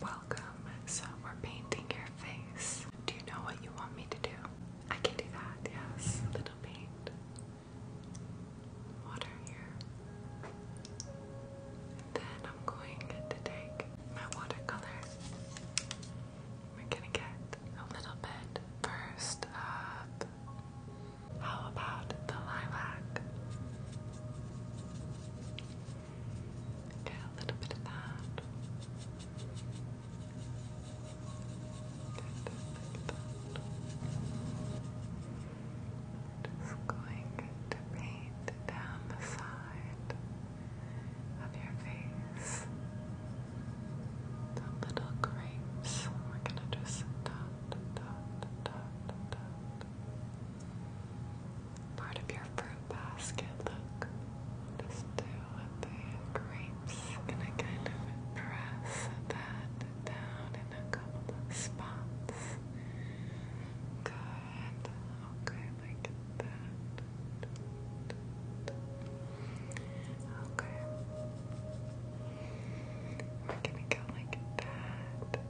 Welcome. So we're painting your face. Do you know what you want me to do? I can do that, yes. A little paint. Water here. then I'm going to take my watercolor. We're gonna get a little bit first up. How about the lilac? Get a little bit of that. Just going to paint down the side of your face. The little grapes. We're gonna just dot, dot, dot, dot, dot part of your fruit basket. Look, just do the grapes. I'm gonna kind of press that down in a couple of spots. Good. Okay, like that. Okay. We're gonna go like that.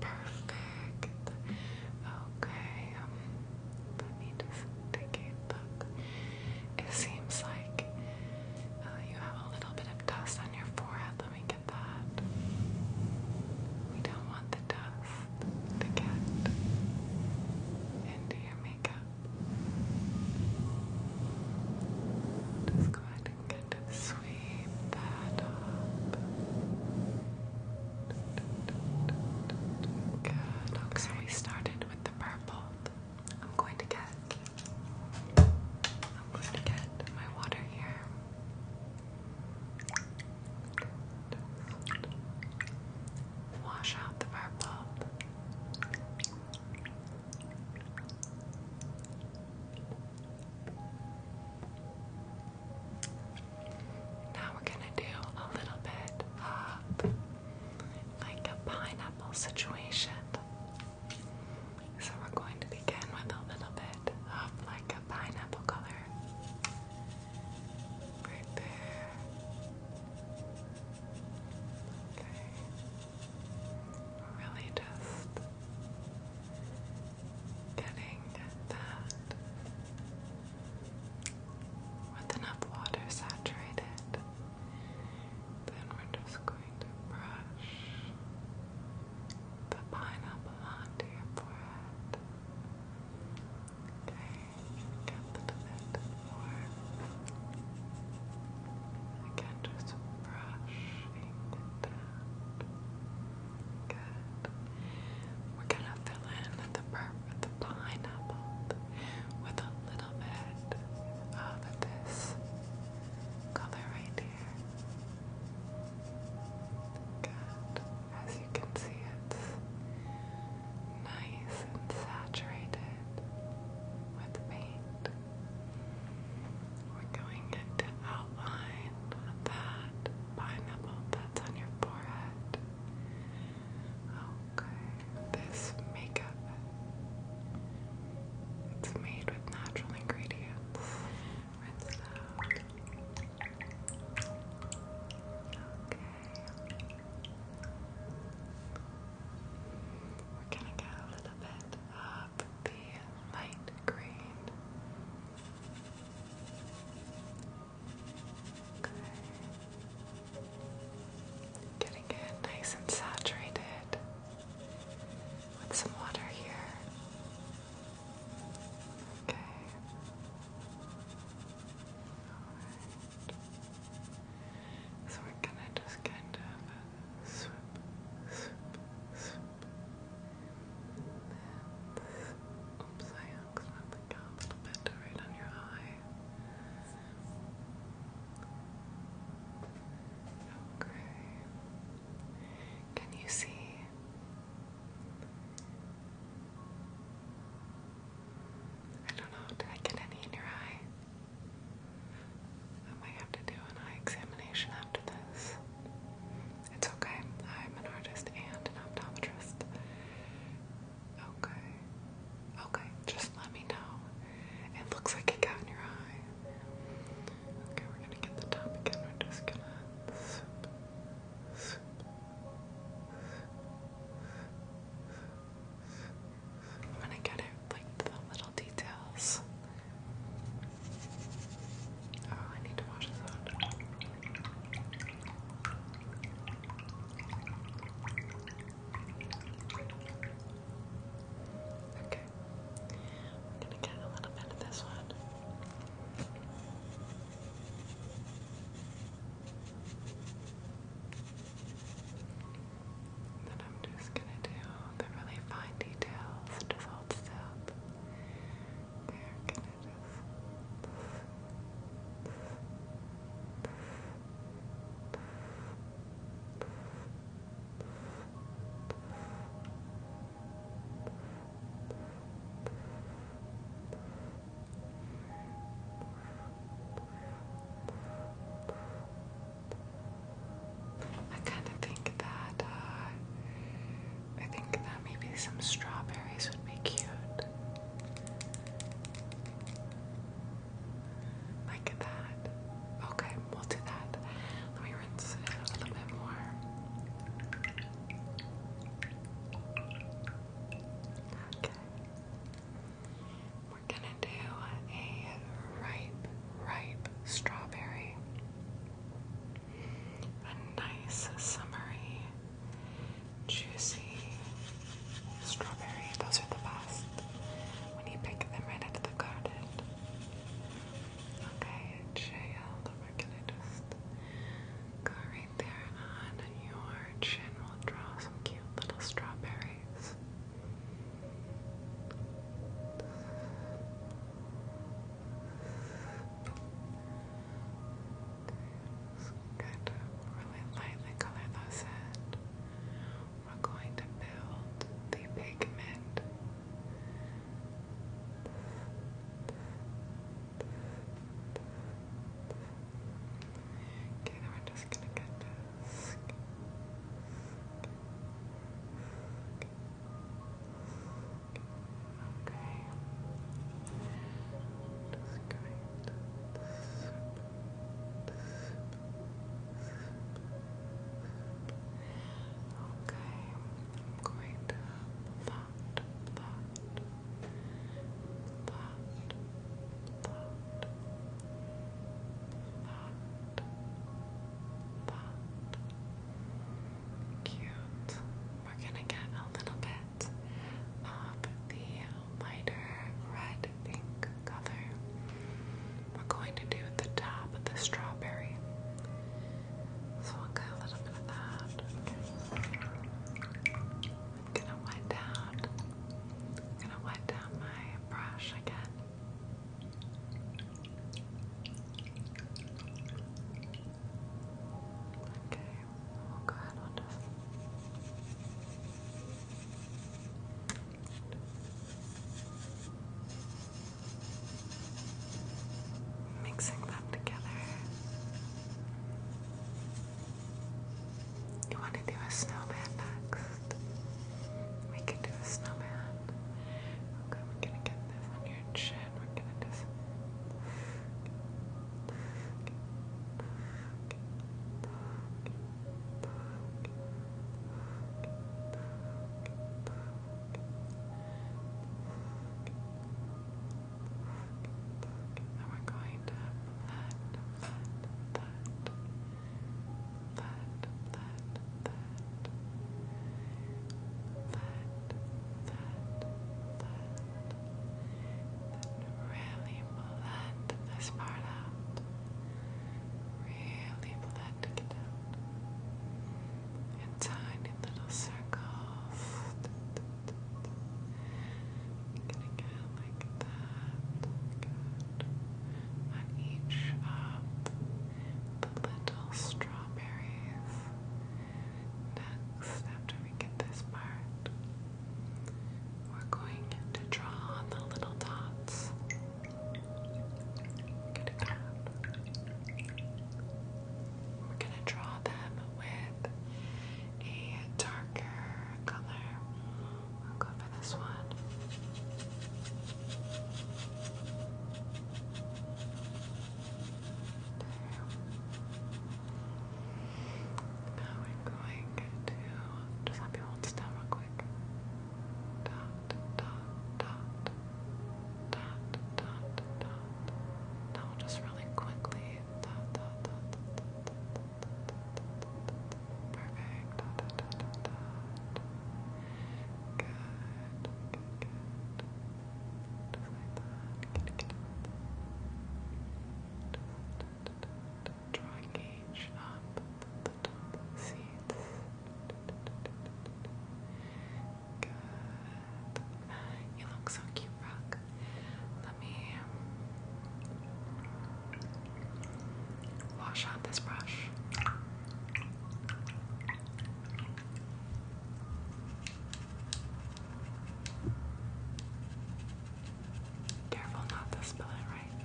Perfect. Okay, um, let me just take a look. It seems like uh, you have a little bit of dust on your forehead. Let me get that. We don't want the dust to get into your makeup. Just go ahead and get to sweet Okay, so we started with the purple. I'm going to get I'm going to get my water here. Wash out the purple. Now we're gonna do a little bit of like a pineapple situation. So we're going to begin with a little bit of like a pineapple color. Right there. Okay. Really just Getting that with enough water saturated, then we're just going to brush the pineapple onto your Okay, get a little more. Again, just brushing it we're gonna fill in the purple, the pineapple, with a little bit of this color right here. As you can see, it's nice and saturated with paint. We're going to outline that pineapple that's on your forehead. Okay, this makeup. It's made with natural ingredients. Rinse Okay. We're gonna get a little bit of the light green. Getting it nice and saturated with some water here. Okay. So we're gonna just kind of uh, swoop, swoop, swoop, Oops, I accidentally got a little bit right on your eye. Okay. Can you see? I don't know, did I get any in your eye? I might have to do an eye examination after this. It's okay. I'm an artist and an optometrist. Okay. Okay, just let me know. It looks like it got in your eye. Okay, we're gonna get the top again. We're just gonna swoop, swoop, I'm gonna get it like the little details. Oh, I need to wash this out. Okay. I'm gonna get a little bit of this one. Then I'm just gonna do the really fine details. Just hold still. They're I kind of think that uh, I think that maybe some strawberries would be cute. Like that. Okay, we'll do that. Let me rinse it a little bit more. Okay. We're gonna do a ripe, ripe strawberry a nice, summery, juicy strawberry. Those are the best when you pick them right out of the garden. Okay, child, we're going just go right there on your chin. We'll draw some cute little strawberries. Just kind of really lightly color those in. We're going to build the pigment. Okay, we're just gonna get this. Okay. Just going to sip, sip, Okay. I'm going to thought, thought, thought, thought, thought, thought. Cute. We're gonna get a little bit of the lighter red pink color. We're going to do the top of the strawberry. So we'll get a little bit of that. I'm gonna wet down. I'm gonna wet down my brush again. Okay, we'll go ahead on this. Mixing them together. You want to do a snowman next? We can do a snowman. Okay, we're gonna get this on your chin. We're gonna just and we're going to that, that, that, that, that, that, that, that, that. Then really blend this part out. Really blending it out. In tiny little circles. Getting it like that. On each of the little strawberries. Next, after we get this part, we're going to draw on the little dots. Get it We're going to draw them with a darker color. I'll go for this one. There. Now we're going to just let me hold still real quick. Now just really quickly. Perfect. good, good. Just up the top Good. You look so cute, Rock. Let me wash out this brush. Careful not to spell it right.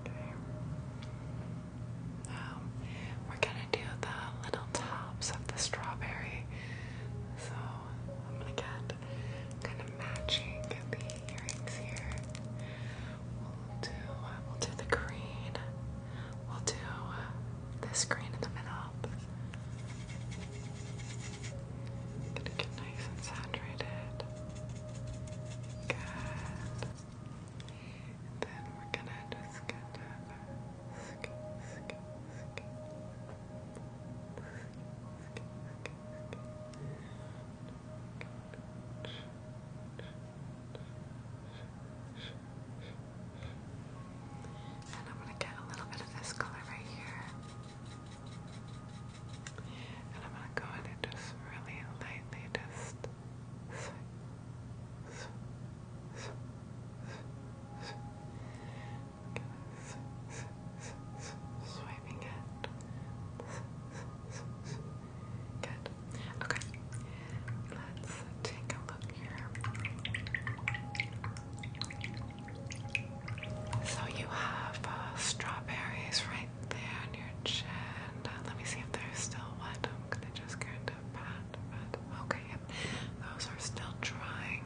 Okay. we're gonna do the little tops of the strawberry. So I'm gonna get kind of matching the earrings here. We'll do we'll do the green. We'll do the screen in the middle. Gonna get nice and saturated. Good. then we're gonna just get that and I'm going to get a little bit of this color right here. And I'm going to go in and just really lightly just swiping it. Good. Okay. Let's take a look here. So you have uh, strawberries right there on your chin. Uh, let me see if there's still wet. I'm gonna just kind of pat, pat. Okay, yep. Those are still drying.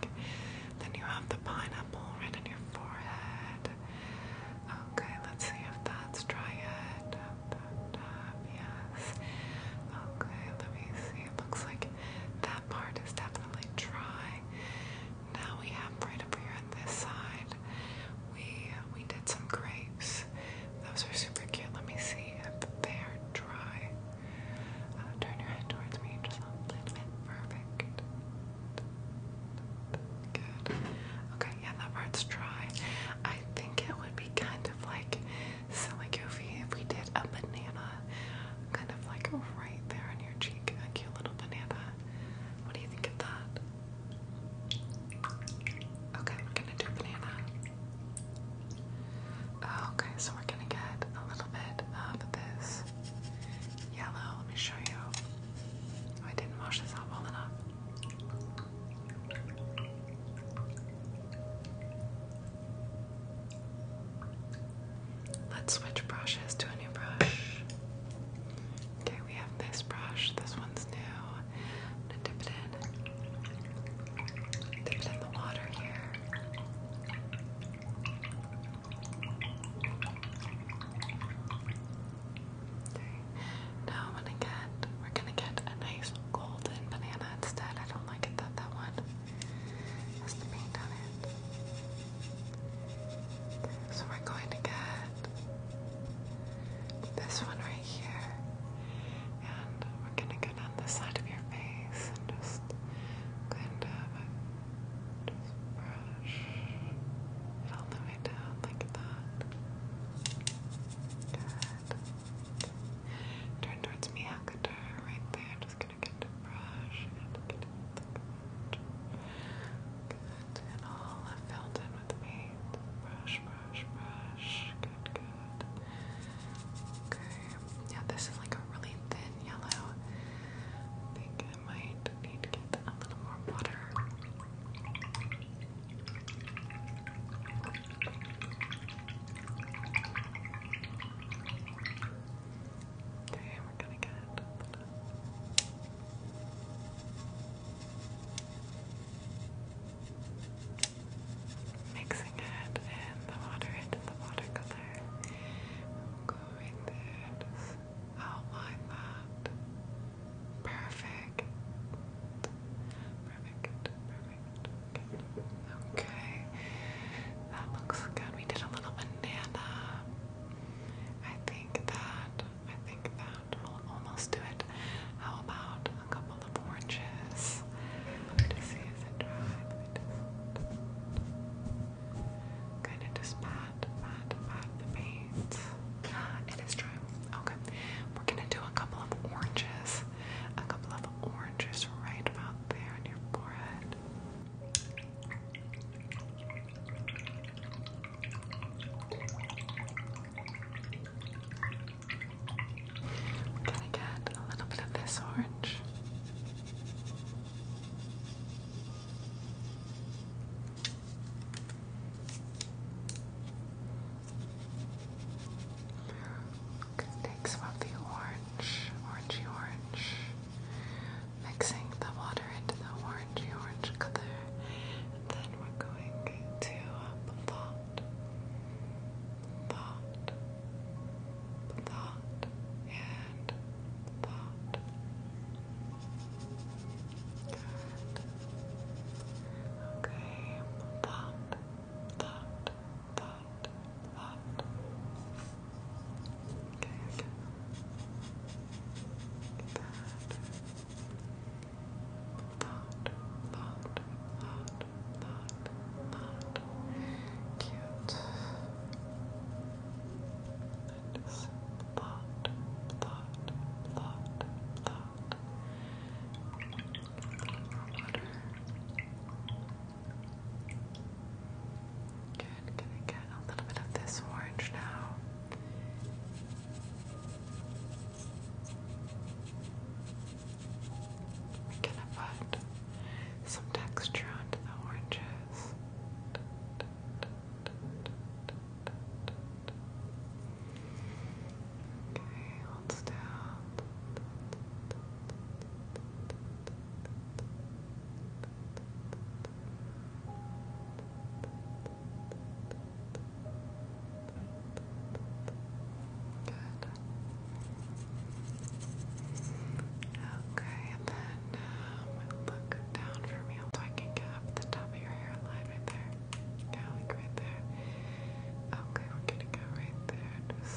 Then you have the pineapple right on your forehead. Okay, let's see if that's dry yet. Yes. Okay, let me see. It looks like that that part is definitely dry. Now we have right up here on this side, we we did some grapes. Those are super cute. Let me see if they are dry. Uh, turn your head towards me just a little bit. Perfect. Good. Okay, yeah, that part's dry. I think it would be kind of like silly goofy if we did a banana kind of like right there on your cheek, a cute little banana. What do you think of that? Okay, we're gonna do banana. Okay, so we're gonna get a little bit of this yellow. Let me show you. Oh, I didn't wash this out well enough. Let's switch brushes to a new brush. Okay, we have this brush. This one's new. I'm gonna dip it in. Dip it in the water here. Okay. Now I'm gonna get we're gonna get a nice golden banana instead. I don't like it that that one that's the paint on it. So we're going to get this one right here, and we're going to go down the side of your face and just kind of just brush it all the way down like that. Good. Turn towards me, Hector, right there. Just gonna get the brush, and get the Good, in with paint. Brush, brush, brush. Good, good. Okay, yeah, this is like a really thin yellow. I think I might need to get a little more water. Okay, we're gonna get Mixing it in the water into the watercolor. going there, outline that. Perfect. Perfect. Perfect. Okay. Okay, that um, looks good. We did a little banana. I think that, I think that will almost do it. How about a couple of oranges? Let me see, is it dry? Let me just kind of just pat, pat, pat the paint. Ah, it is dry. Okay, we're gonna do a couple of oranges. A couple of oranges right about there on your forehead gonna get a little bit of this orange. Gonna take some of the orange, orangey orange mixing the water into the orangey orange color, then we're going to blot, blot, blot, and blot. Good. Okay, blot, blot, blot hot, hot. Okay, okay. Get that. Cute. just hot, hot, hot, hot. Good, gonna get a little bit of this orange now. gonna put some texture onto the oranges. Okay, hold still. Okay, and then um, look down for me so I can get the top of your hairline right there. Yeah, like right there. Okay, we're gonna go right there. Just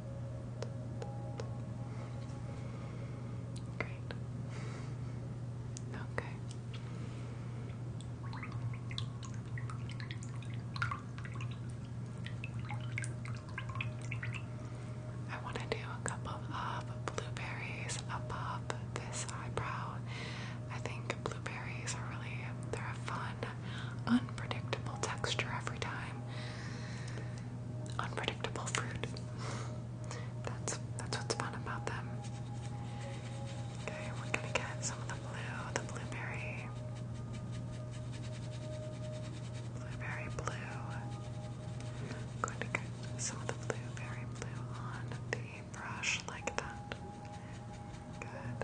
Great. Okay. I want to do a couple of blueberries above this eyebrow. I think blueberries are really they're a fun, unpredictable texture every time unpredictable fruit. That's that's what's fun about them. Okay, we're gonna get some of the blue, the blueberry, blueberry blue. Going to get some of the blueberry blue on the brush like that. Good.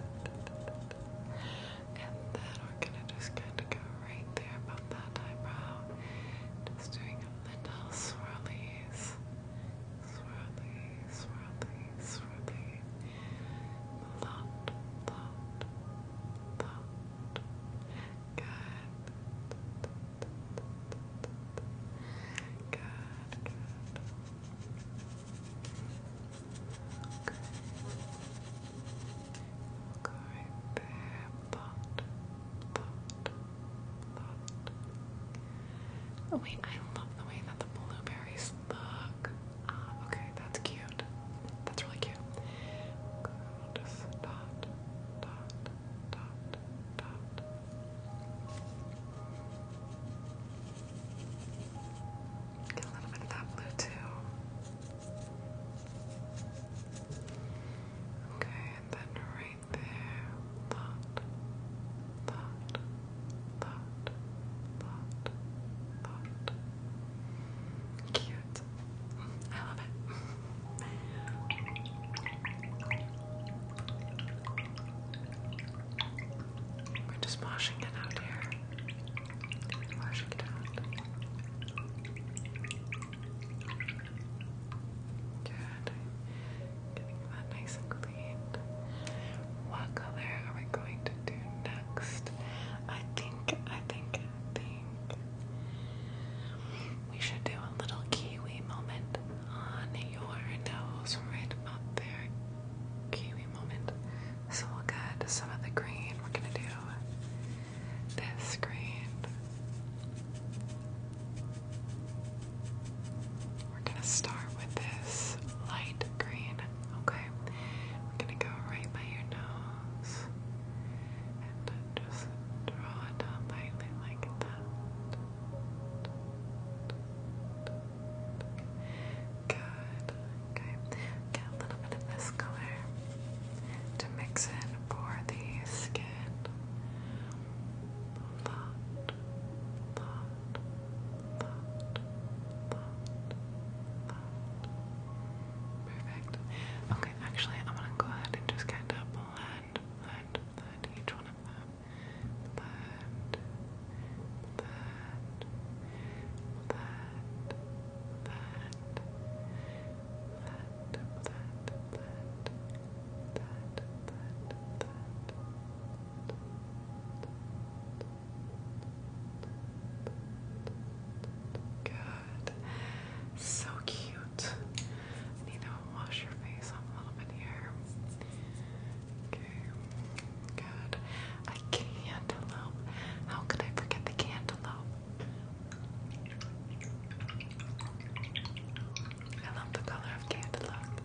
And then we're gonna just kind of go right there that eyebrow. Just doing a little swirlies. Swirly, swirly, swirly. Lot, lot, lot. Good. Good, good. Okay. Oh wait, I love the way that the blueberries look. Ah, okay, that's cute. That's really cute. Get a little bit of that blue too. Okay, and then right there, thought, thought, thought, thought, thought. Cute. I love it. We're just washing it out here. Washing it out. Good. Getting that nice and clean. What color are we going to do next? I think, I think, think we should do a little kiwi moment on your nose right up there. Kiwi moment. So we'll get some of the green. We're gonna do this screen. We're gonna start with this light green, okay? We're gonna go right by your nose and just draw it down like that. Good. Okay. Get a little bit of this color to mix in for the skin. Perfect. Okay, actually, I'm gonna go ahead and just kind of blend, blend, blend each one of them that, that, that, that, that, that. Good. So cute. I need wash your face off a little bit here. Okay. Good. I cantaloupe. How could I forget the cantaloupe? I love the color of cantaloupe.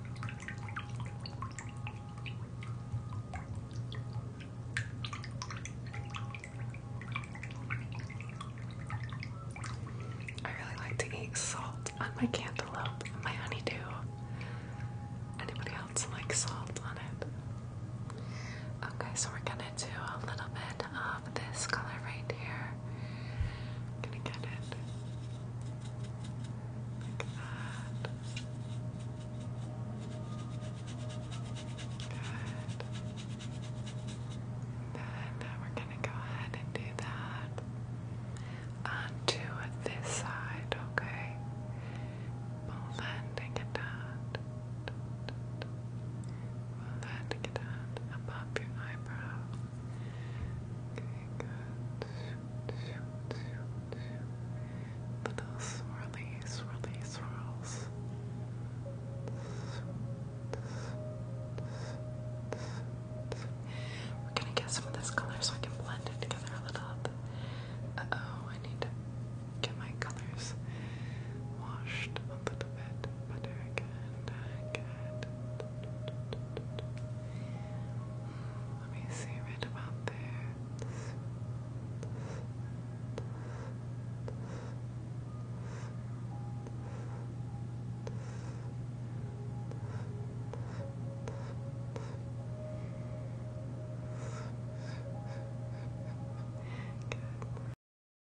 I really like to eat salt on my cantaloupe and my honeydew. Anybody else like salt on it? Okay, so we're gonna do a little bit this color right here. gonna get it Good. Then we're gonna go ahead and do that onto this side, okay? Blending it out that get out your eyebrow. Okay, good. Shoot, Little swirly, swirly swirls. We're gonna get some of this color so I can blend it together a little bit. Uh oh, I need to get my colors washed a little bit, but I can Let me see right about there. Good.